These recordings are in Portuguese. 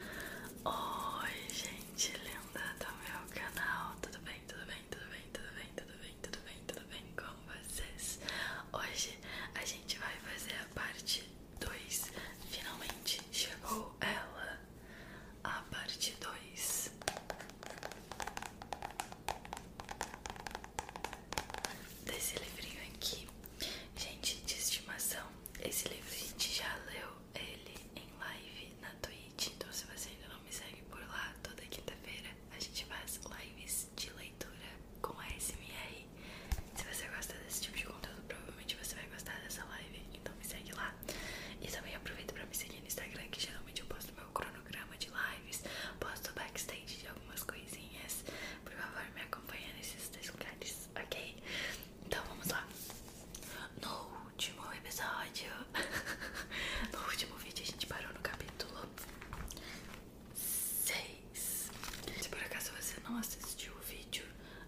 Oi gente linda do meu canal, tudo bem, tudo bem, tudo bem, tudo bem, tudo bem, tudo bem, tudo bem com vocês? Hoje a gente vai fazer a parte 2, finalmente chegou ela, a parte 2 desse livrinho aqui, gente de estimação, esse livro a gente já leu ele em live na Twitch. Então, se você ainda não me segue por lá, toda quinta-feira a gente faz lives de leitura com a SMR. Se você gosta desse tipo de conteúdo, provavelmente você vai gostar dessa live. Então, me segue lá. E também aproveita para me seguir no Instagram, que geralmente eu posto meu cronograma de lives, posto backstage de algumas coisinhas. Por favor, me acompanhe nesses dois lugares ok? Então vamos lá. No último episódio, no último vídeo, a gente parou no capítulo 6. Se por acaso você não assistiu o vídeo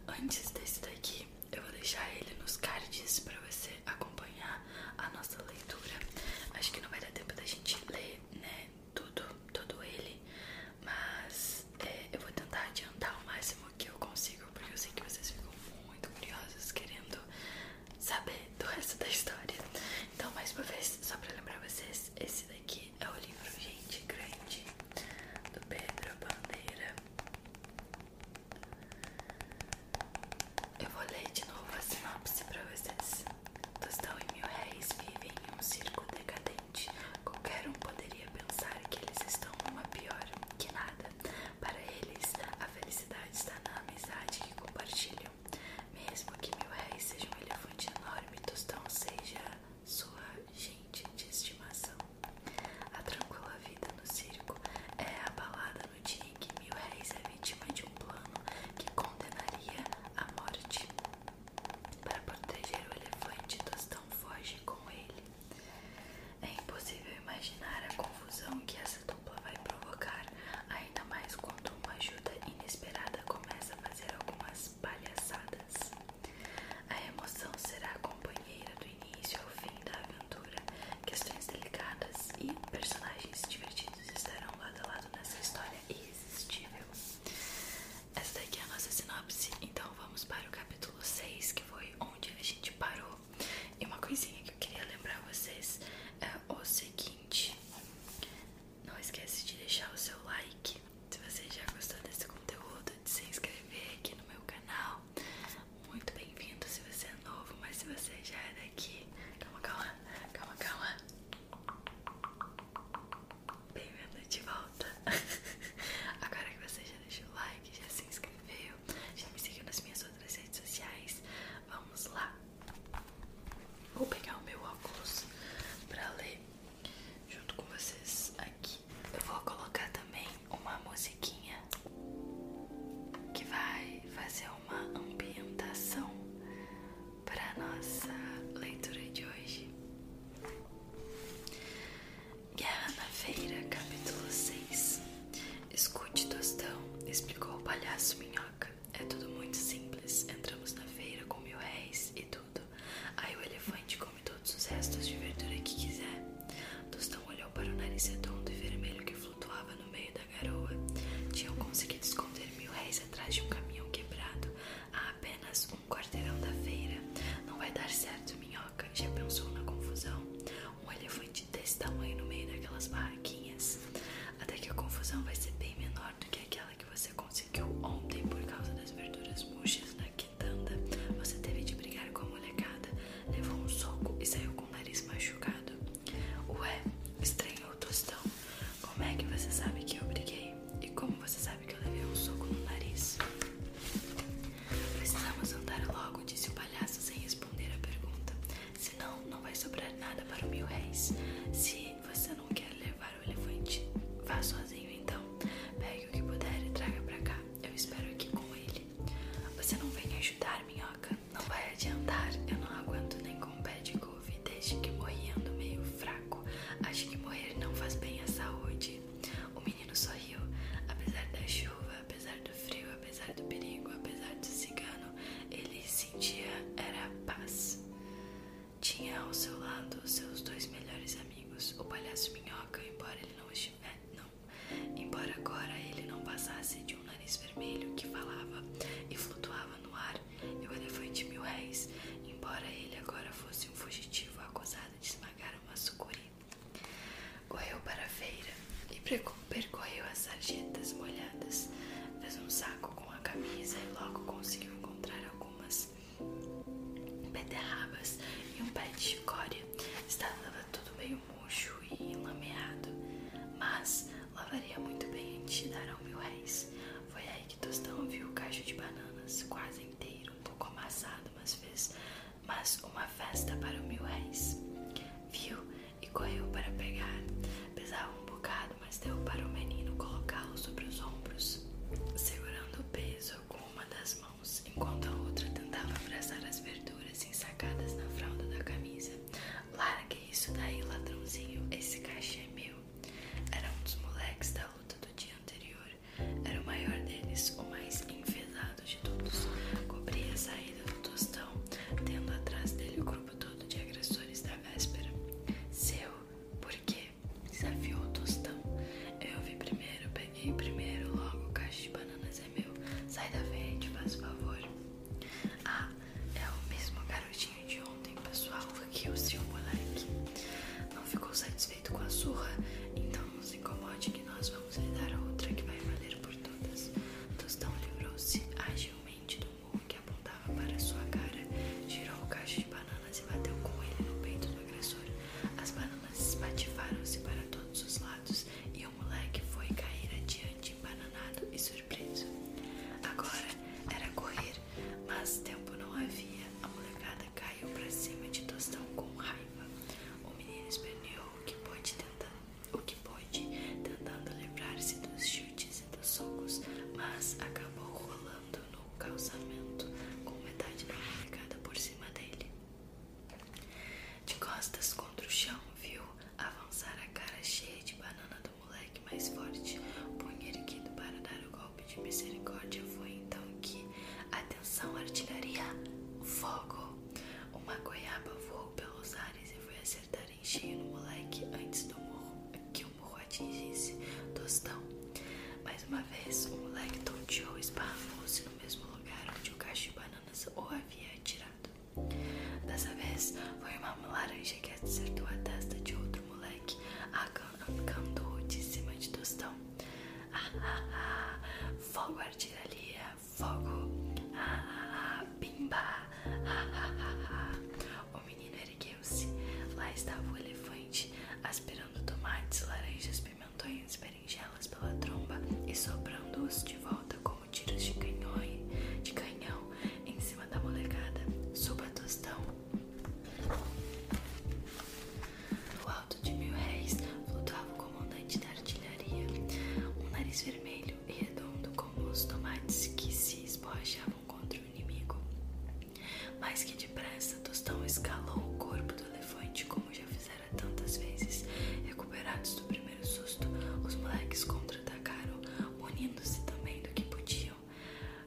antes desse daqui, eu vou deixar ele nos cards pra você acompanhar a nossa leitura. Acho que não vai dar tempo da gente ler, né? Tudo, todo ele, mas é, eu vou tentar adiantar o máximo que eu consigo, porque eu sei que vocês ficam muito curiosos querendo saber do resto da história. Então, mais uma vez, só pra lembrar vocês, esse daqui é o livro Gente Grande, do Pedro Bandeira. Eu vou ler de novo a sinopse pra vocês. Tostão e mil réis vivem em um circo decadente. Qualquer um poderia ia pensar que eles estão numa pior que nada. Para eles, a felicidade está na amizade que compartilham. Mesmo que mil réis seja um elefante enorme, Tostão seja sua gente de estimação. A tranquila vida no circo é abalada no dia em que mil é vítima de um plano que condenaria a morte. Para proteger o elefante, Tostão foge com ele. É impossível imaginar a confusão que essa dupla vai provocar, ainda mais quando uma ajuda inesperada começa a fazer algumas palhaçadas. A emoção será companheira do início ao fim da aventura. Questões delicadas e personagens divertidos estarão lado a lado nessa história irresistível. Essa daqui é a nossa sinopse então vamos para o capítulo 6, que foi onde a gente parou. E uma coisinha que eu queria lembrar vocês é o seguinte: não esquece de deixar o seu like. Se você já gostou desse conteúdo, de se inscrever aqui no meu canal. Muito bem-vindo se você é novo, mas se você já é daqui, calma, calma, calma, calma. Bem-vindo de volta. Agora que você já deixa o like, já se inscreveu, já me seguiu nas minhas outras redes sociais. Vamos lá. Vou pegar o meu óculos pra ler junto com vocês aqui. Eu vou colocar também uma musiquinha que vai fazer uma ambientação para nossa leitura de hoje. Guerra na Feira, capítulo 6 Escute, Tostão, explicou o palhaço Minhoca. É tudo muito simples. Entramos na feira com mil réis e tudo. Aí o elefante come todos os restos de verdura que quiser. Tostão olhou para o nariz redondo e vermelho que flutuava no meio da garoa. Tinham conseguido esconder mil réis atrás de um caminhão quebrado a apenas um quarteirão da feira. Não vai dar certo, Minhoca minhoca. Já pensou na confusão? Um elefante desse tamanho no meio daquelas barraquinhas. Até que a confusão vai ser bem menor do que aquela que você conseguiu ontem por causa das verduras murchas na quitanda. Você teve de brigar com a molecada, levou um soco e saiu com o nariz machucado. Ué, Estranho o tostão. Como é que você sabe que eu briguei? E como você sabe que eu levei um soco no nariz? Precisamos andar logo, disse o palhaço sem responder a pergunta. Senão, não vai sobrar nada para o mil réis. Se você não quer levar o elefante, vá sozinho então. Pegue o que puder e traga para cá. Eu espero aqui com ele. Você não vem ajudar, minhoca? Não vai adiantar. Eu não aguento nem com o pé de couve desde que morri meio fraco. Acho que morrer não faz bem à saúde. O menino sorriu. Apesar da chuva, apesar do frio, apesar do perigo, apesar do cigano, ele sentia era paz. Tinha ao seu lado seus dois melhores amigos, o palhaço minhoca, embora ele não estivesse, não, embora agora ele não passasse de um nariz vermelho que falava e flutuava no ar, e o elefante mil réis, embora ele agora fosse um fugitivo acusado de esmagar uma sucuri Correu para a feira e percorreu as sarjetas molhadas. Fez um saco com a camisa e logo conseguiu encontrar algumas beterrabas e um pé de chicória. Estava tudo meio murcho e enlameado, mas lavaria muito bem antes de dar ao mil réis. Foi aí que Tostão viu o cacho de bananas, quase inteiro, um pouco amassado, mas fez mas uma festa para o mil réis. Viu e correu para pegar. Pesava um bocado, mas deu para o menino colocá-lo sobre os ombros, segurando o peso com uma das mãos, enquanto a outra tentava abraçar as verduras ensacadas na fralda da camisa. Largue isso daí, ladrãozinho, esse cachê é meu. Era um dos moleques da luta do dia anterior. Era o maior deles, o mais enfesado lado de todos. Cobria a saída do tostão, tendo atrás dele o corpo todo de agressores da véspera. Seu, por quê? Desafiou o tostão. Eu vi primeiro, peguei primeiro, logo o cacho de bananas é meu. Sai da frente, faz favor. Ah, é o mesmo garotinho de ontem, pessoal, que o seu moleque. Não ficou satisfeito com a surra? Então não se incomode que nós vamos consolidar a outra que vai valer por todas. Tostão livrou-se agilmente do burro que apontava para sua cara, tirou o cacho de bananas e bateu com ele no peito do agressor. As bananas espatifaram-se para todos os lados e o moleque foi cair adiante, embananado e surpreso. Agora era correr, mas tempo não havia. A molecada caiu para cima de Tostão com raiva. O menino esperneou que pôde o que pôde, tentando livrar-se dos chutes e dos socos, mas acabou rolando no calçamento, com metade planificada por cima dele. De costas contra o chão, viu avançar a cara cheia de banana do moleque mais forte, punho erguido para dar o golpe de misericórdia. Foi então que, atenção, artilharia, fogo! Uma goiaba voou pelos ares e foi acertar em cheio no moleque antes do morro, que o morro atingisse Tostão. Mais uma vez, o moleque tonteou e esparramou-se no mesmo lugar onde o cacho de bananas o havia atirado. Dessa vez, foi uma laranja que acertou a testa de outro moleque, arrancando-o de cima de Tostão. Ah, ah, ah, fogo artilharia, fogo, ah, ah, ah, pimba, ah, ah, ah, ah. O menino ergueu-se. Lá estava o elefante, aspirando tomates, laranjas, pimentões, berinjelas pela tromba e soprando-os de volta como tiros de canhão, de canhão em cima da molecada. Suba tostão. No alto de mil réis flutuava o comandante da artilharia, um nariz vermelho e redondo como os tomates que se esborrachavam contra o inimigo. Mais que depressa, Tostão escalou o corpo do elefante, como já fizera tantas vezes. Recuperados do primeiro susto, os moleques contra-atacaram, unindo-se também do que podiam.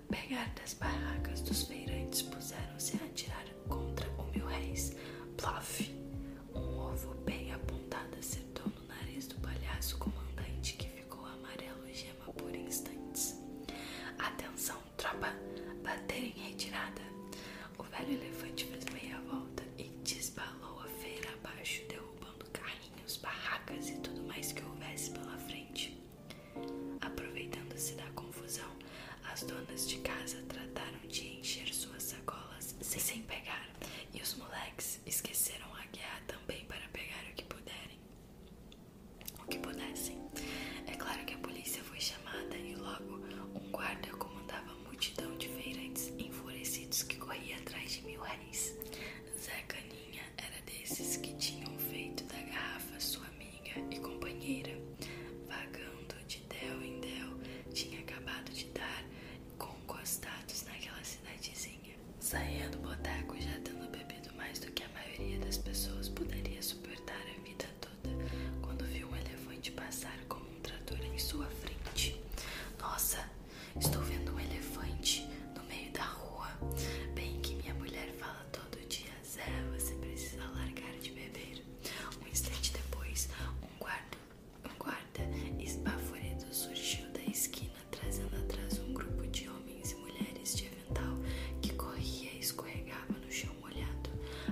Pegar das barracas dos feirantes, puseram-se a atirar contra o mil réis. Plof! Um ovo bem apontado acertou no nariz do palhaço comandante, que ficou amarelo e gema por instantes. Atenção, tropa! Bater em retirada! O velho elefante fez meia volta e desbalou a feira abaixo, derrubando carrinhos, barracas e tudo mais que houvesse pela frente. Aproveitando-se da confusão, as donas de casa trataram de encher suas sacolas sacolas sem pegar, e os moleques esqueceram a guerra também para pegar o que puderem. O que pudessem. É claro que a polícia foi chamada e logo um guarda comandava a multidão de feirantes enfurecidos que corria atrás de mil reis Zé Caninha era desses que tinham feito da garrafa sua amiga e companheira, vagando de Del em Del tinha acabado de dar com costados naquela cidadezinha. Saía do boteco já tendo bebido mais do que a maioria das pessoas poderia suportar a vida toda, quando viu um elefante passar como um trator em sua frente. Nossa, estou vendo um elefante no meio da rua. Bem que minha mulher fala todo dia, Zé, você precisa largar de beber. Um instante depois, um guarda um guarda esbaforido surgiu da esquina, trazendo atrás um grupo de homens e mulheres de avental que corria e escorregava no chão molhado.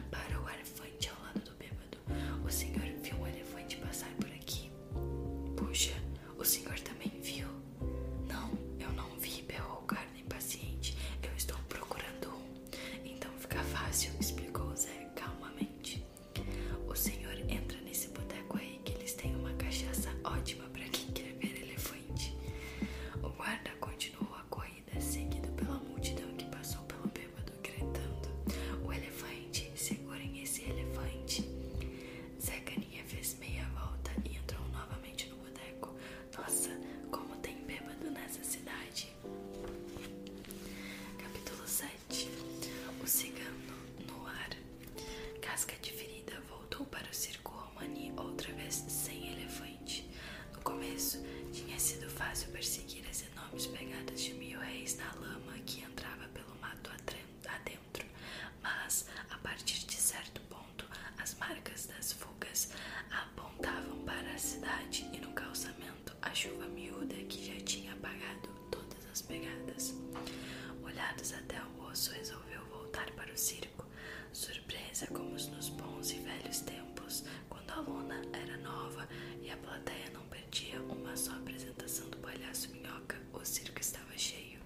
Para o elefante ao lado do bêbado, o senhor viu um elefante passar por aqui. Puxa, o senhor também viu? Não, eu não vi, berrou o guarda impaciente. Eu estou procurando um. Então fica fácil, explicou Zé calmamente. O senhor entra nesse boteco aí que eles têm uma cachaça ótima para quem quer ver elefante. O guarda continuou a corrida, seguido pela multidão que passou pelo bêbado, gritando: O elefante, segurem esse elefante. Zecaninha fez meia volta e entrou novamente no boteco. Nossa, como tem bêbado nessa cidade! Capítulo 7 O cigano no ar Casca de ferida voltou para o circo romani outra vez sem elefante. No começo, tinha sido fácil perseguir as enormes pegadas de mil reis na lama que entrava pelo mato adentro, mas a partir de certo ponto, as marcas das fugas apontavam para a cidade e no calçamento a chuva miúda que já tinha apagado todas as pegadas. olhados até o osso, resolveu voltar para o circo. Surpresa como nos bons e velhos tempos, quando a lona era nova e a plateia não perdia uma só apresentação do palhaço minhoca, o circo estava cheio.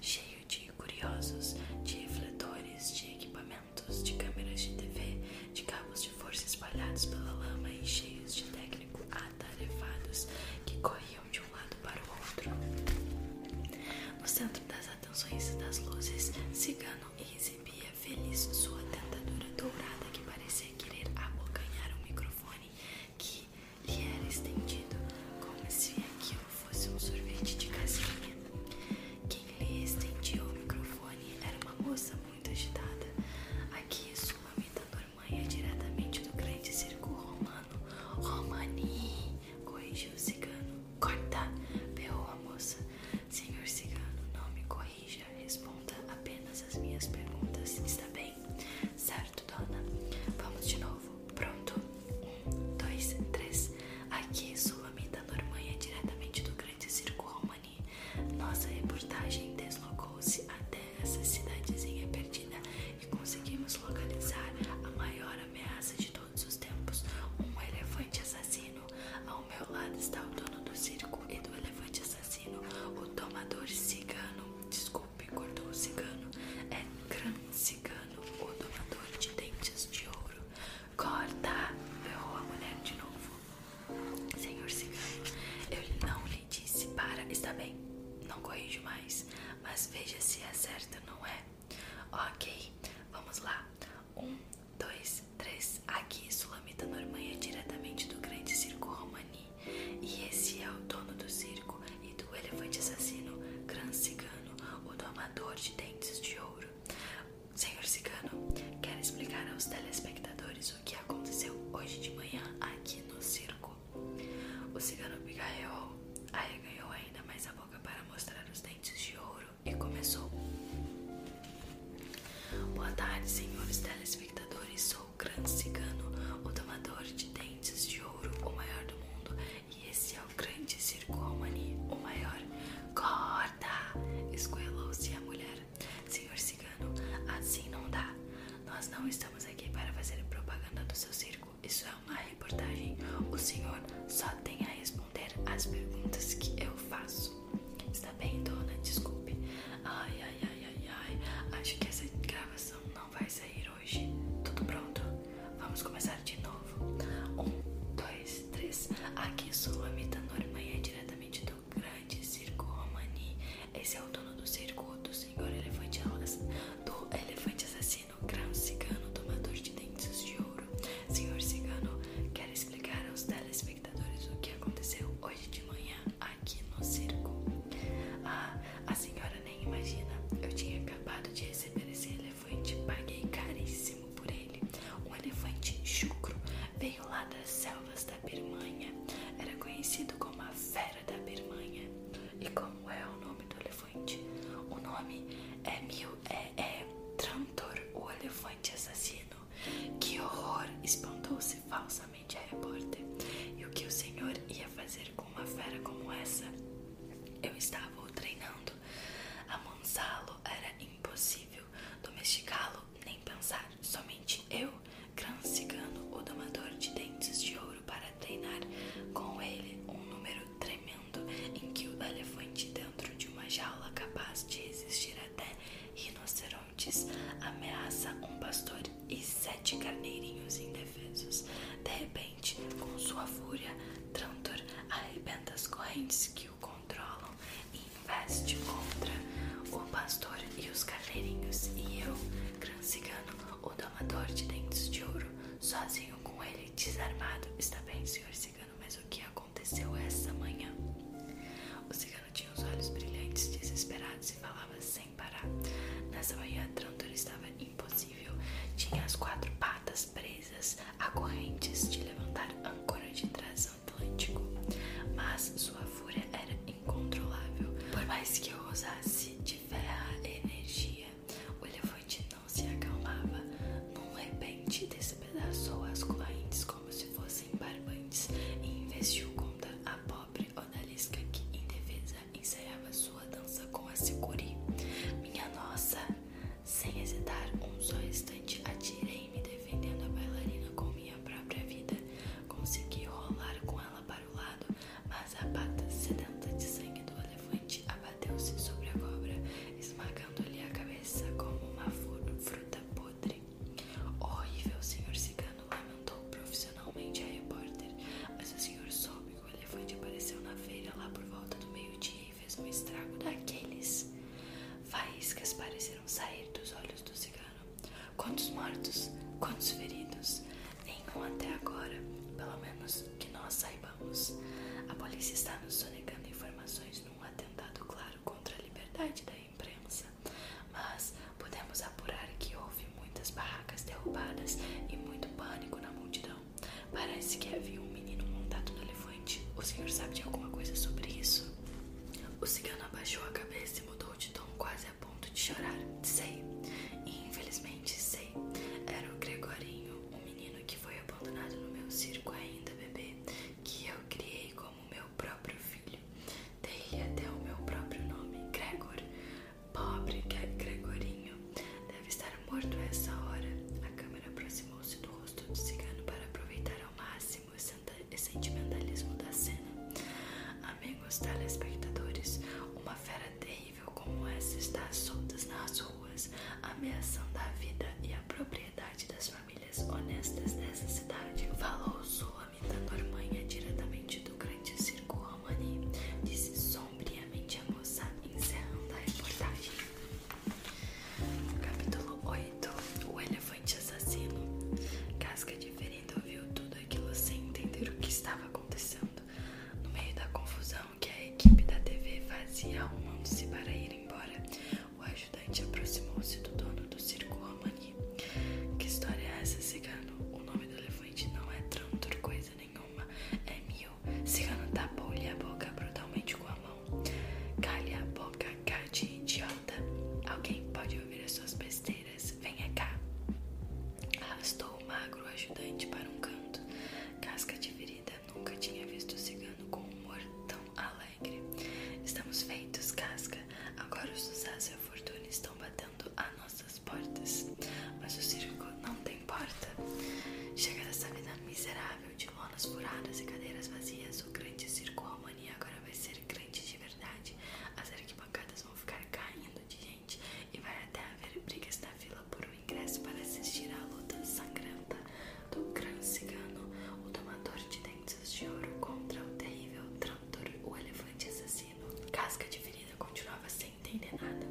Cheio de curiosos, de refletores, de equipamentos, de câmeras de TV, de cabos forças de espalhados pela lama e cheios de técnico atarefados que corriam de um lado para o outro. No centro das atenções e das luzes, Cigano exibia feliz sua dentadura dourada que parecia querer abocanhar o microfone que lhe era estendido, como se aquilo fosse um sorvete de casinha. Quem lhe estendia o microfone era uma moça muito agitada. Aqui sua vida normanha é diretamente do grande circo romano. Romani, corrija o cigano. Corta, berrou a moça. Senhor cigano, não me corrija. Responda apenas as minhas perguntas. Está bem? Certo, dona. Vamos de novo. Pronto. Um, dois, três. Aqui sua amiga Normanha é diretamente do grande circo romano. Nossa reportagem deslocou-se até essa cidadezinha perdida e conseguimos localizar a maior ameaça de todos os tempos: um elefante assassino. Ao meu lado está o dono do circo e do elefante assassino, o tomador cigano. Desculpe, cortou o cigano. É Gran Cigano, o domador de dentes de ouro. Corta! Ferrou a mulher de novo. Senhor Cigano, eu não lhe disse para. Está bem, não corrijo mais, mas veja se é certo, não é? Ok, vamos lá. Um, dois, três. Aqui, Sulamita Normanha, é diretamente do grande circo Romani. E esse é o dono do circo e do elefante assassino, Gran Cigano, o domador de dentes de ouro. Senhor Cigano, quero explicar aos telespectadores o que aconteceu hoje de manhã aqui no circo. O cigano pigarreou, arreganhou ainda mais a boca para mostrar os dentes de ouro e começou. Boa tarde, senhores telespectadores. Sou o grande cigano, o domador de dentes de ouro, o maior do mundo. E esse é o grande circo Almani, o maior. Corta! Escoelou-se a mulher Senhor Cigano, assim não dá. Nós não estamos aqui para fazer propaganda do seu circo. Isso é uma reportagem. O senhor só tem a responder às perguntas que eu faço. Está bem, dona? Desculpe. Ai, ai, ai, ai, ai. Acho que essa gravação não vai sair hoje. Tudo pronto? Vamos começar de novo. Um, dois, três. Aqui sou a Mita Normanha, é diretamente do grande circo Romani. Esse é o dono do circo, o senhor elefante, do elefante assassino, grão cigano, tomador de dentes de ouro. Senhor cigano, quero explicar aos telespectadores o que aconteceu hoje de manhã aqui no circo? Ah, a senhora nem imagina. Eu tinha acabado de receber esse elefante, paguei caríssimo por ele. Um elefante chucro veio lá da das selvas da Birmanha, era conhecido como a Fera da Birmanha. E como é o nome do elefante? O nome é Mil é, é Trantor, o elefante assassino. Que horror! espantou-se falsamente a repórter. E o que o senhor ia fazer com uma fera como essa? Eu estava treinando. Amansá-lo era impossível, domesticá-lo nem pensar. Somente eu, gran cigano, o domador de dentes de ouro, para treinar com ele um número tremendo em que o elefante dentro de uma jaula capaz de resistir até rinocerontes ameaça um pastor e sete carneirinhos indefesos. De repente, com sua fúria, Trantor arrebenta as correntes que o controlam e investe contra o pastor e os carneirinhos e eu, gran cigano, o domador de dentes de ouro, sozinho com ele, desarmado. Está bem, senhor cigano, mas o que aconteceu essa manhã? O cigano tinha os olhos brilhantes, desesperados e falava sem parar. Nessa manhã, trânsito estava impossível. Tinha as quatro patas presas a correntes de levantar âncora de trás Atlântico, mas sua fúria era incontrolável. Por mais que eu ousasse de ferra energia, o elefante não se acalmava. Num repente, despedaçou as correntes como se fossem barbantes e investiu contra a pobre odalisca que, indefesa, ensaiava sua dança com a sicuri. Minha nossa! Sem hesitar um só instante, atirei-me defendendo a bailarina com minha própria vida. Consegui rolar com ela para lado, mas a pata sedenta de sangue do elefante abateu-se sobre a cobra, esmagando-lhe a cabeça como uma fruta podre. Horrível, senhor cigano, lamentou profissionalmente a repórter, mas o senhor soube que o elefante apareceu na feira lá por volta do meio-dia e fez um estrago daqueles. Faíscas pareceram sair dos olhos do cigano. Quantos mortos, quantos feridos? Nenhum até agora, pelo menos que nós saibamos. A polícia está nos sonegando informações num atentado claro contra a liberdade da imprensa. Mas podemos apurar que houve muitas barracas derrubadas e muito pânico na multidão. Parece que havia um menino montado no elefante. O senhor sabe de alguma coisa sobre isso? O cigano abaixou a cabeça e mudou de tom quase a ponto de chorar, sei. infelizmente sei. Era o Gregorinho, o menino que foi abandonado no meu circo ainda bebê, que eu criei como meu próprio filho. dei até o meu próprio nome, Gregor. Pobre Gregorinho. Deve estar morto a essa hora. A câmera aproximou-se do rosto do cigano para aproveitar ao máximo o sentimentalismo da cena. A amigos telespectadores, uma fera terrível como essa está solta nas ruas, ameaçando a vida e a propriedade das famílias honestas dessa cidade, falou Sulamita Normanha diretamente do grande circo Romani, disse sombriamente a moça, encerrando a reportagem. Capítulo 8 O Elefante Assassino Casca de Reverendo ouviu tudo aquilo sem entender o que estava acontecendo. No meio da confusão que a equipe da TV fazia arrumando-se para ir embora, o ajudante aproximou-se do dono do circo Romani. Que história é essa, cigano? O nome do elefante não é tanto coisa nenhuma. É mil. Cigano tapou-lhe a boca brutalmente com a mão. Calha a boca, cara idiota. Alguém pode ouvir as suas besteiras cadeiras. Venha é cá. Arrastou o magro ajudante para um canto. Casca de ferida nunca tinha visto o cigano com um humor tão alegre. Estamos feitos, Casca. Agora os Zaz e a Fortuna estão batendo a nossas portas. Mas o circo não tem porta. Chega dessa vida miserável de lonas furadas e cadeiras vazias. O grande circo romani agora vai ser grande de verdade. As arquibancadas vão ficar caindo de gente e vai até haver brigas na vila por um ingresso para assistir à luta sangrenta do crânio cigano, o tomador de dentes de ouro contra o terrível Trantor, o elefante assassino. Casca de ferida continuava sem entender nada,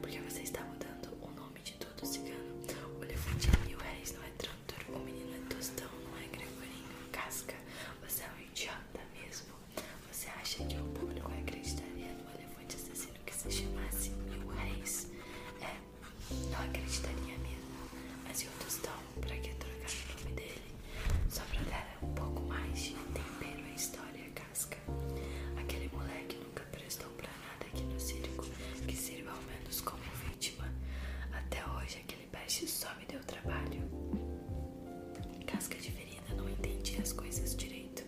porque você está dando o nome de todo cigano. O elefante é mil réis, não é Trantor, o menino é tostão, não é Gregorinho. Casca, você é um idiota mesmo. Você acha que o público acreditaria no elefante assassino que se chamasse Mil Reis? É, não acreditaria mesmo. Mas e o Tostão? Pra que trocar o nome dele? Só pra dar um pouco mais de tempero à história casca. Aquele moleque nunca prestou pra nada aqui no circo, que sirva ao menos como vítima. Até hoje aquele peixe só só me deu trabalho. Casca de ferida não entendia as coisas direito.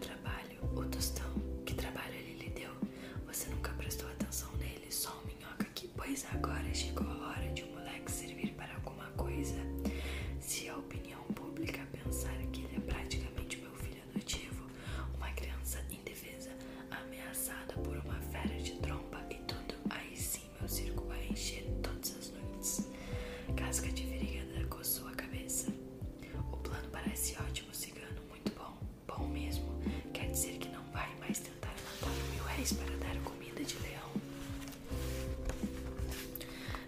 Trabalho, o tostão, que trabalho ele lhe deu. Você nunca prestou atenção nele, só o minhoca aqui. Pois agora chegou a hora de um moleque servir para alguma coisa. Se a opinião pública pensar que ele é praticamente meu filho adotivo, uma criança indefesa, ameaçada por uma fera de tromba e tudo, aí sim. Assim, meu circo vai encher todas as noites. Casca de verigada coçou a cabeça. O plano parece ótimo, cigano, muito bom. Bom mesmo. Quer dizer que não vai mais tentar matar mil réis para dar comida de leão.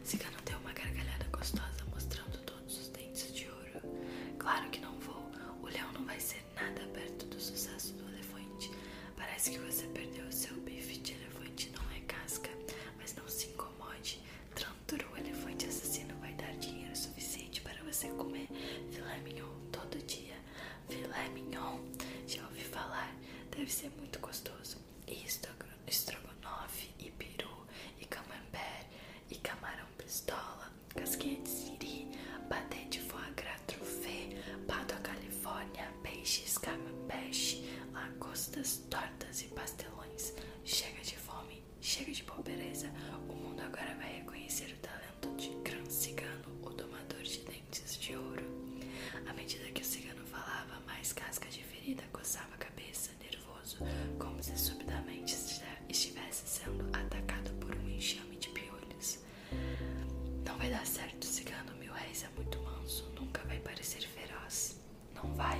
Cigano deu uma gargalhada gostosa, mostrando todos os dentes de ouro. Claro que não vou. O leão não vai ser nada perto do sucesso do elefante. Parece que você perdeu seu bife de elefante, não é casca mas não se incomode. Tranturu, o elefante assassino, vai dar dinheiro suficiente para você comer filé mignon todo dia. Filé mignon, já ouvi falar, deve ser muito gostoso. E estrogonofe, e peru, e camembert, e camarão pistola, casquinha de siri, batente de foie gras truffé, pato à califórnia, peixes, peixe, lagostas, tortas e pastelões. Chega de fome, chega de pobreza. O mundo agora vai reconhecer o talento de Gran Cigano, o domador de dentes de ouro. À medida que o cigano falava, mais casca de ferida coçava a cabeça, nervoso, como se subitamente estivesse sendo atacado por um enxame de piolhos. Não vai dar certo, cigano. Mil réis é muito manso, nunca vai parecer feroz. Não vai.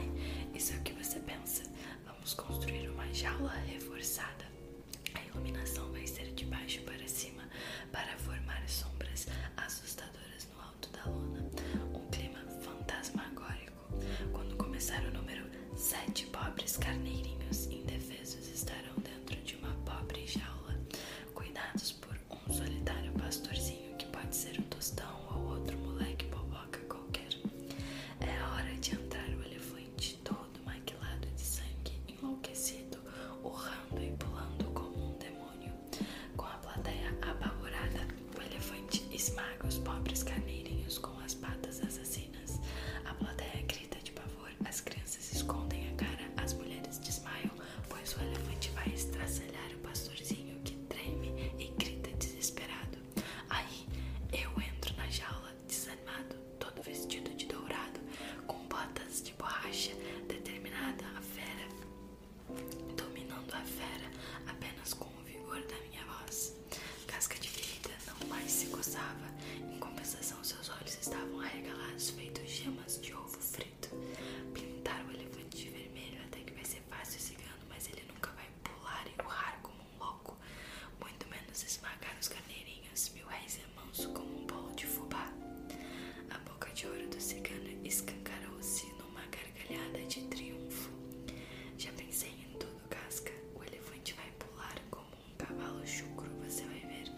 Isso é o que você pensa. Vamos construir uma jaula reforçada. A iluminação vai ser de baixo para cima para formar sombras assustadoras no alto da lona. Um clima fantasmagórico. Quando começar o número, sete pobres carneirinhos indefesos estarão dentro de uma pobre jaula, cuidados um solitário pastorzinho que pode ser um tostão ou outro moleque boboca qualquer. É a hora de entrar o elefante todo maquilado de sangue, enlouquecido, urrando e pulando como um demônio. Com a plateia apavorada, o elefante esmaga os pobres carneirinhos com as patas assassinas. A plateia grita de pavor, as crianças escondem a cara, as mulheres desmaiam, pois o elefante vai estraçalhar o pastorzinho que treme e grita desesperado. Aí eu entro na jaula desanimado, todo vestido de dourado, com botas de borracha, determinada a fera, dominando a fera apenas com o vigor da minha voz. Casca de ferida não mais se coçava, em compensação seus olhos estavam arregalados, feitos gemas de ovo frio preto, pintar o elefante de vermelho até que vai ser fácil cigano, mas ele nunca vai pular e urrar como um louco, muito menos esmagar os carneirinhos, mil réis é manso como um bolo de fubá. A boca de ouro do cigano escancarou-se numa gargalhada de triunfo. Já pensei em tudo, Casca. O elefante vai pular como um cavalo chucro, você vai ver.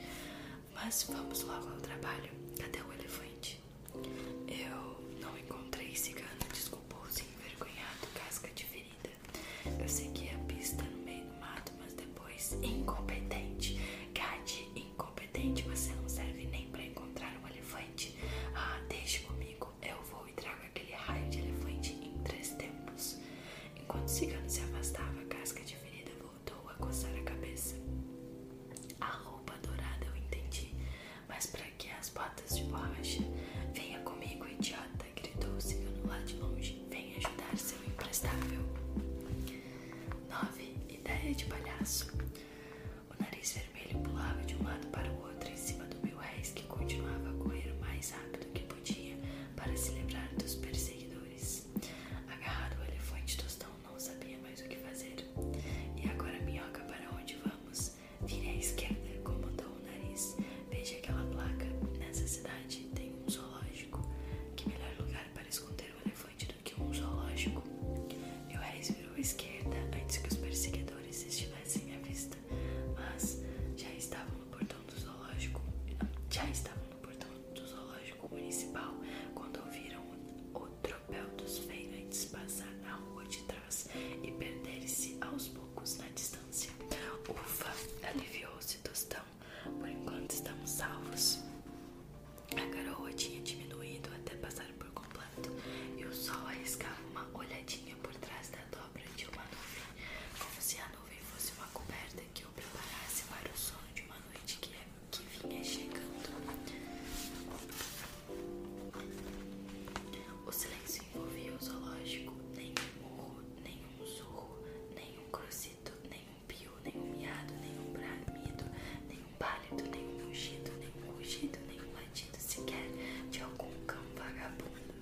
Mas vamos logo ao trabalho. até o elefante? Eu não encontrei cigana, desculpou-se envergonhado, casca de ferida. Eu segui a pista no meio do mato, mas depois, incompetente. Gade, incompetente, você não serve nem para encontrar um elefante. Ah, deixe comigo, eu vou e trago aquele raio de elefante em três tempos. Enquanto o cigano se afastava, casca de ferida voltou a coçar a cabeça. A roupa dourada, eu entendi mas para que as botas de borracha? Venha comigo, idiota! gritou o cigano lá de longe. Venha ajudar seu imprestável. 9. Ideia de palhaço. O nariz vermelho pulava de um lado para o outro em cima do meu réis, que continuava a correr o mais rápido que podia para se lembrar dos perseguidores. Agarrado ao elefante, Tostão não sabia mais o que fazer. E agora, minhoca, para onde vamos? vamos. à esquerda, comandou o nariz. Veja aquela placa. Nessa cidade tem um zoológico. Que melhor lugar para esconder um elefante do que um zoológico? E o Harris virou à esquerda antes que os perseguidores estivessem à vista. Mas já estavam no portão do zoológico. Já estavam no portão do zoológico municipal quando ouviram outro tropel dos feirantes passar na rua de trás e perder-se aos poucos na distância. Ufa! Aliviou-se Tostão. Por enquanto estamos salvos. A garoa tinha diminuído até passar por completo, e o sol arriscava uma olhadinha por trás da dobra de uma nuvem, como se a nuvem fosse uma coberta que o preparasse para o sono de uma noite que é- vinha chegando. O silêncio envolvia o zoológico. Nenhum urro, nenhum surro, nenhum crocito, nenhum pio, nenhum miado, nenhum bramido, nenhum pálido, nenhum ungido, nenhum rugido, nenhum latido sequer de algum cão vagabundo.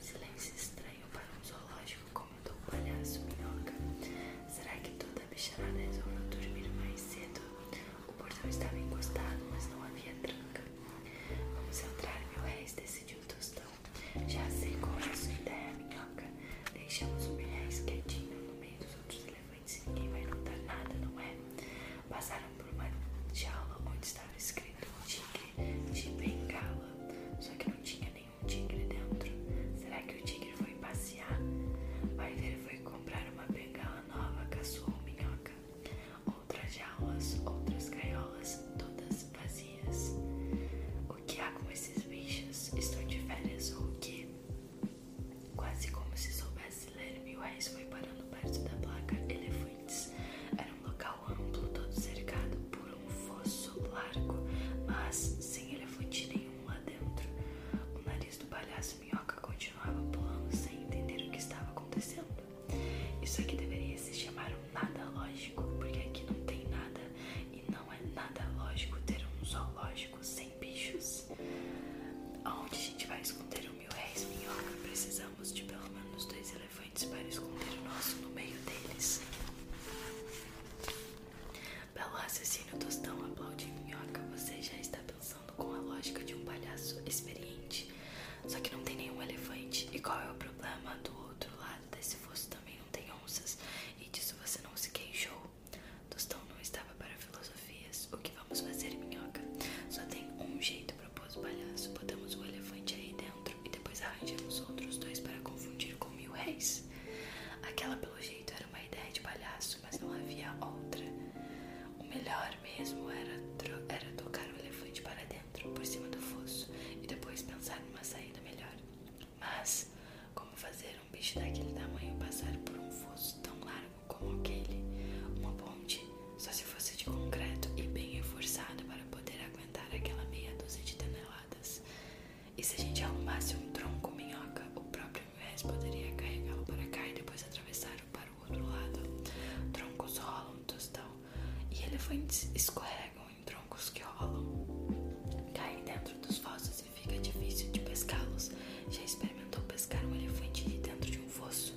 Silêncio estranho para um zoológico, comentou o palhaço minhoca. Será que toda a bicharada resolveu dormir mais cedo? O portão estava encostado, mas não havia tranca. Vamos entrar, meu réis, decidiu Tostão. Já sei qual é a sua ideia, minhoca. Deixamos o milhais quietinho no meio dos outros elefantes e ninguém vai notar nada, não é? Passaram por uma jaula onde estava escrito tigre de bengala, só que não tinha nenhum tigre dentro. Será que o tigre foi passear? Vai ver, foi comprar uma bengala nova, caçoou minhoca outras jaulas, outras gaiolas, todas vazias. O que há com esses bichos? Estão de férias ou o quê? Quase como se soubesse ler, Milways foi parando perto da placa Elefantes. Era um local amplo, todo cercado por um fosso largo, mas sem elefante nenhum lá dentro. O nariz do palhaço Minhoca continuava pulando sem entender o que estava acontecendo. Isso aqui deveria se chamar um nada lógico, porque aqui não tem nada e não é nada lógico ter um zoológico sem bichos. Aonde a gente vai esconder o mil réis, Minhoca? Precisamos de pelo menos dois elefantes para esconder o nosso no meio deles. Pelo raciocínio tostão, aplaude Minhoca. Você já está pensando com a lógica de um palhaço experiente. Só que não tem nenhum elefante. E qual é o problema do outro lado desse fosso também não tem onças? E disso você não se queixou. Tostão não estava para filosofias. O que vamos fazer, minhoca? Só tem um jeito, para o palhaço. Podemos um elefante aí dentro e depois arranjamos outros dois para confundir com mil réis. Aquela, pelo jeito, era uma ideia de palhaço, mas não havia outra. O melhor mesmo era, era tocar o elefante para dentro, por cima do fosso, e depois pensar numa saída melhor. Mas, como fazer um bicho daquele tamanho passar por um fosso tão largo como aquele? Uma ponte, só se fosse de concreto e bem reforçada para poder aguentar aquela meia dúzia de toneladas. E se a gente arrumasse um tronco minhoca, o próprio Muez poderia carregá-lo para cá e depois atravessar o outro lado. Troncos rolam, tostão. E elefantes escorregam em troncos que rolam. Caem dentro dos fossos e fica difícil de pescá-los. Já experimentou pescar um elefante de dentro de um fosso?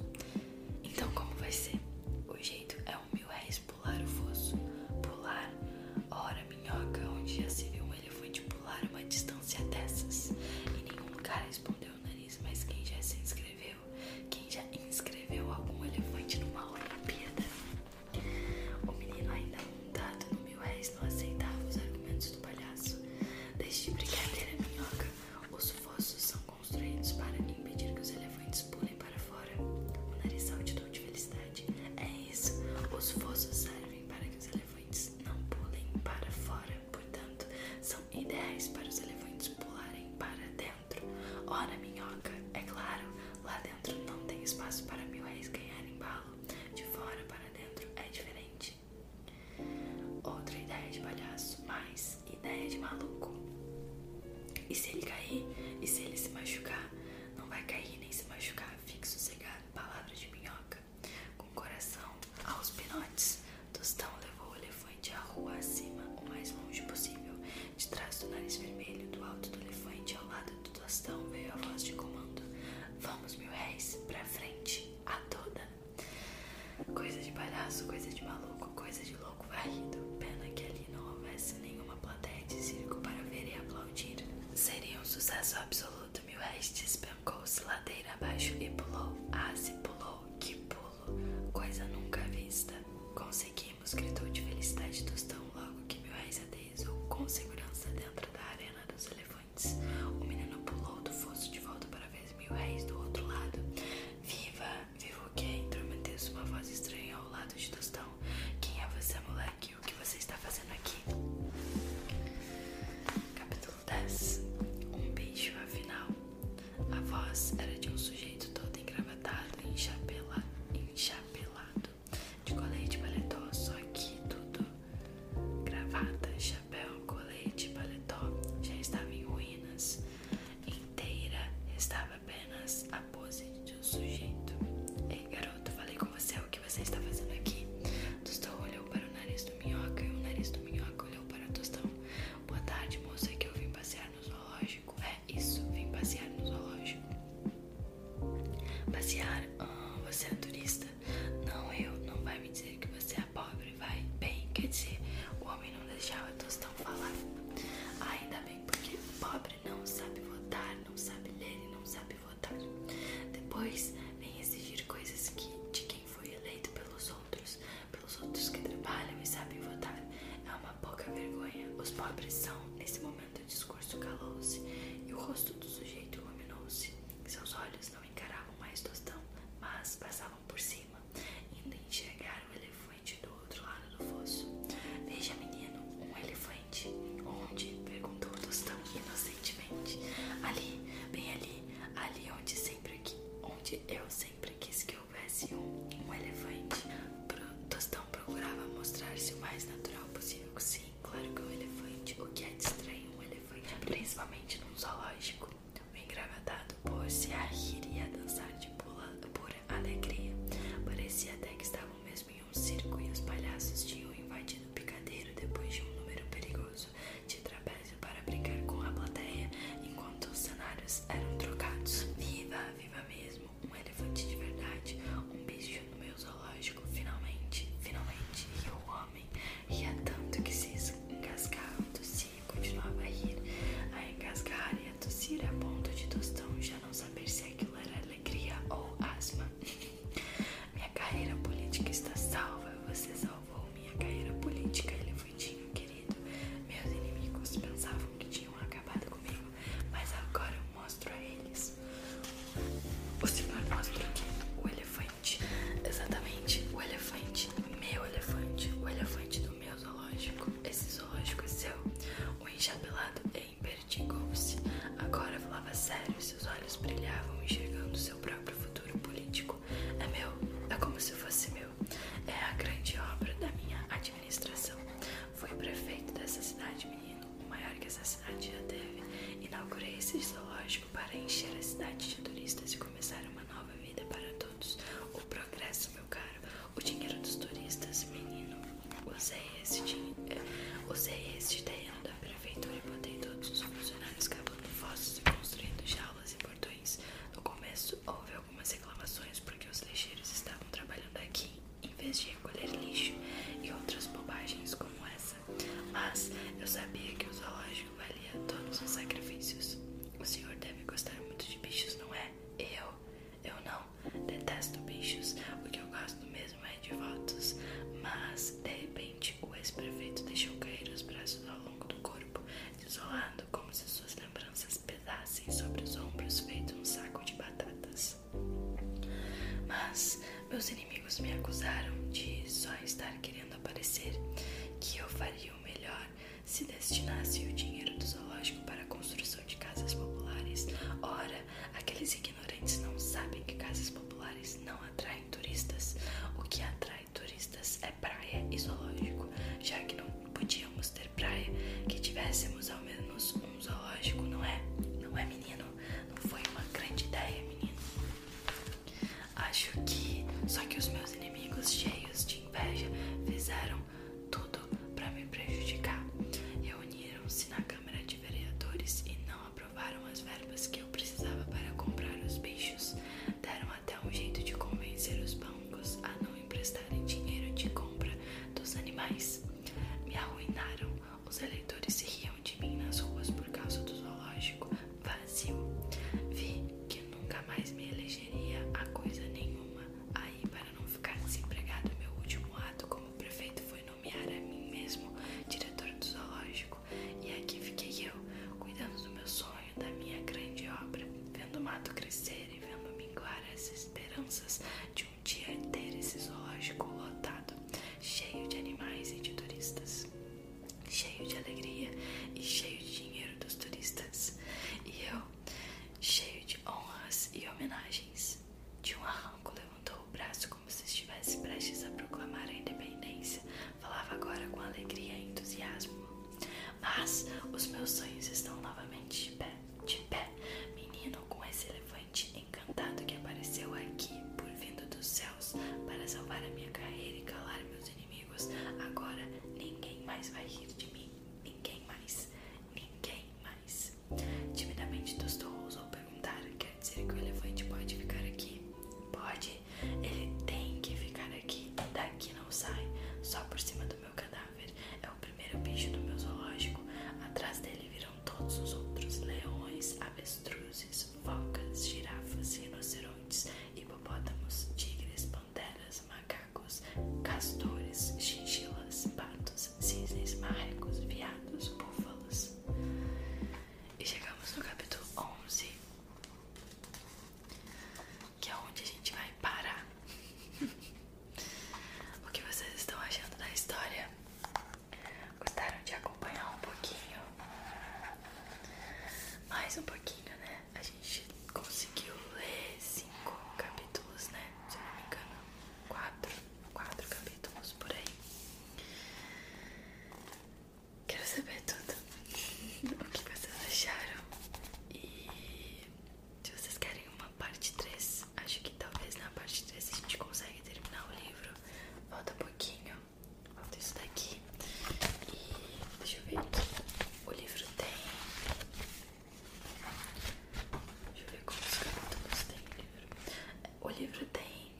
Então, como vai ser? O jeito é um mil réis pular o fosso. Pular, ora, minhoca, onde já se viu um elefante pular uma distância dessas? E nenhum cara respondeu o nariz, mas quem já se inscreveu quem já inscreveu algum elefante numa Olimpíada? O menino ainda montado no mil réis não aceitava os argumentos do palhaço. Deixe de brincadeira minhoca, os fossos são construídos para impedir que os elefantes pulem para fora. O nariz saltitou é de felicidade. É isso, os fossos servem para que os elefantes não pulem para fora, portanto, são Ideias para os elefantes pularem para dentro. Ora, minhoca, é claro, lá dentro não tem espaço para mil reis ganharem balo. De fora para dentro é diferente. Outra ideia de palhaço, mais ideia de maluco. E se ele cair? E se ele se machucar? Não vai cair nem se machucar. Fique sossegado. palavra de minhoca. Com coração aos pinotes, Tostão levou o elefante à rua acima, o mais longe possível. De trás do nariz vermelho, do alto do elefante, ao lado do Tostão, veio a voz de comando: Vamos, mil réis, pra frente, a toda. Coisa de palhaço, coisa de maluco, coisa de louco varrido. Pena que ali não houvesse nenhuma plateia de circo para ver e aplaudir. Seria um sucesso absoluto. Mil réis despencou-se ladeira abaixo e pulou. Ah, se pulou, que pulou coisa nunca vista. Conseguimos, gritou de felicidade Tostão logo que meu Reis aterrizou com segurança dentro da arena dos elefantes. O menino pulou do fosso de volta para ver Mil Reis do outro lado. Viva! vivo o que? Intrometeu-se uma voz estranha ao lado de Tostão. Quem é você, moleque? O que você está fazendo aqui? Capítulo dez. Um beijo, afinal. A voz era de um sujeito todo engravatado e enchapelado, de colete paletó, só que tudo gravata, chapéu, colete, paletó, já estava em ruínas. Inteira estava apenas a pose de um sujeito. Ei, garoto, falei com você o que você está fazendo aqui. Tostão olhou para o nariz do minhoca e o nariz do minhoca olhou para Tostão. Boa tarde, moça, que eu vim passear no zoológico. É isso, vim passear no zoológico. Passear? Ah, você é turista? Não, eu. Não vai me dizer que você é pobre, vai. Bem, quer dizer, o homem não deixava a tostão falar. Ah, ainda bem, porque pobre não sabe votar, não sabe ler não sabe votar. Depois vem exigir coisas que, de quem foi eleito pelos outros pelos outros que trabalham e sabem votar. É uma pouca vergonha. Os pobres são. Nesse momento, o discurso calou-se e o rosto do sujeito iluminou-se. Seus olhos não encaravam mais Tostão, mas passavam por cima, indo enxergar o elefante do outro lado do fosso. Veja, menino, um elefante. Onde? perguntou Tostão inocentemente. Ali, bem ali, ali onde sempre que, onde eu sempre quis que houvesse um, elefante. Pro, Tostão procurava mostrar-se o mais natural possível. Sim, claro que é um elefante. O que é de um elefante, principalmente num zoológico. O engravatado pôr-se a rir e a dançar de pula, por alegria. Parecia até que estavam mesmo em um circo e os palhaços tinham invadido o picadeiro depois de um número perigoso de trapézios para brincar com a plateia enquanto os cenários eram trocados. Viva, viva mesmo, um elefante de verdade, um bicho no meu zoológico, finalmente, finalmente. E o homem ria tanto que se engasgava, tossia e continuava a rir, a engasgar e a tossir a ponto de Tostão já não saber se aquilo era alegria ou asma. Minha carreira política está salva, você salvou minha carreira política, elefante confundinho, querido. Meus inimigos pensavam que tinham acabado comigo, mas agora eu mostro a eles. O senhor mostra o O elefante. Exatamente, o elefante. Meu elefante. O elefante do meu zoológico. Esse zoológico é seu. O enxapelado empertigou-se. É agora falava sério, seus olhos brilhavam, enxergando seu próprio futuro político. É meu, é como se fosse meu é a grande obra da minha administração. Fui prefeito dessa cidade, menino, o maior que essa cidade já teve. Inaugurei esse zoológico para encher a cidade de turistas e começar uma nova vida para todos. O progresso, meu caro, o dinheiro dos turistas, menino. Usei esse dinheiro, é, usei esse terreno da prefeitura e botei todos os funcionários cavando fossos e construindo jaulas e portões. No começo houve algumas reclamações porque os lixeiros estavam trabalhando aqui em vez de recolher lixo e outras bobagens como essa. Mas eu sabia que o zoológico valia todos os sacrifícios. O senhor deve gostar muito de bichos, não é? Eu? Eu não. Detesto bichos. O que eu gosto mesmo é de votos. Mas, de repente, o ex-prefeito deixou cair os braços ao longo do corpo, desolado como se suas lembranças pesassem sobre os ombros feito um saco de batatas. Mas meus inimigos me acusaram de só estar querendo aparecer, que eu faria o melhor se destinasse o dinheiro do zoológico para a construção de casas populares. Ora, aqueles ignorantes não sabem que casas populares não atraem turistas. O que atrai turistas é praia e zoológico, já que não podíamos ter praia que tivéssemos ao menos um zoológico, não é? Não é, menino? Não foi uma grande ideia, menino? Acho que só que os meus inimigos cheios de inveja fizeram tudo para me prejudicar. Reuniram-se na Câmara de Vereadores e não aprovaram as verbas que eu precisava para comprar os bichos. Deram até um jeito de convencer os bancos a não emprestarem dinheiro de compra dos animais. Me arruinaram. Os eleitores se riam de mim nas ruas por causa do zoológico vazio. Vi que nunca mais me elegeria a coisa nenhuma. Aí, para não ficar desempregado, meu último ato como prefeito foi nomear a mim mesmo diretor do zoológico. E aqui fiquei eu, cuidando do meu sonho, da minha grande obra, vendo o mato crescer vendo minguar as esperanças de um dia ter esse zoológico lotado, cheio de animais e de turistas, cheio de alegria e cheio de dinheiro dos turistas, e eu, cheio de honras e homenagens. De um arranco levantou o braço como se estivesse prestes a proclamar a independência, falava agora com alegria e entusiasmo. Mas os meus sonhos estão novamente de pé, de pé, menino com esse elefante encantado que apareceu aqui por vindo dos céus para salvar a minha carreira e calar meus inimigos. Agora ninguém mais vai rir de mim, ninguém mais, ninguém mais. Timidamente Tostão ousou perguntar: quer dizer que o elefante pode ficar aqui? Pode, ele tem que ficar aqui, daqui não sai, só por cima do meu cadáver é o primeiro bicho do meu zoológico. Atrás dele viram todos os outros: leões, avestruzes, focas, girafas, rinocerontes, hipopótamos, tigres, panteras, macacos, castores, chinchilas, patos, cisnes, marrecos, viados, búfalos. E chegamos no capítulo 11 que é onde a gente vai parar. o que vocês estão achando da história? Gostaram de acompanhar um pouquinho? Mais um pouquinho, né? A gente conseguiu ler cinco capítulos, né? Se eu não me engano, quatro, quatro capítulos por aí. Quero saber tudo o que vocês acharam e se vocês querem uma parte 3, acho que talvez na parte 3 a gente consiga terminar o livro. Falta um pouquinho, falta isso daqui. E deixa eu ver aqui. O livro tem. Deixa eu ver quantos capítulos tem o livro. O livro tem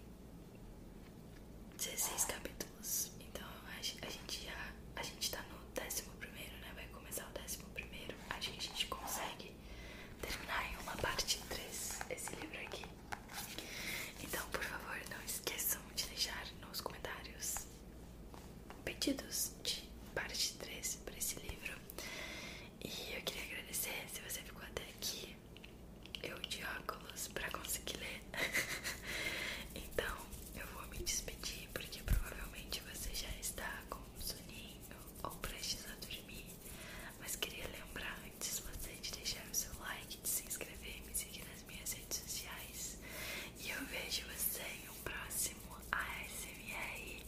16 capítulos. Então a gente já. A gente tá o décimo primeiro, né? Vai começar o décimo primeiro. a gente consegue terminar em uma parte 3 esse livro aqui. Então, por favor, não esqueçam de deixar nos comentários pedidos de parte 3 para esse livro. E eu queria agradecer se você ficou até aqui. Eu de óculos para conseguir ler. então, eu vou me despedir porque provavelmente você já está com um soninho ou precisa dormir. Mas queria lembrar antes de você de deixar o seu like, de se inscrever e me seguir nas minhas redes sociais. E eu vejo você em um próximo ASMR.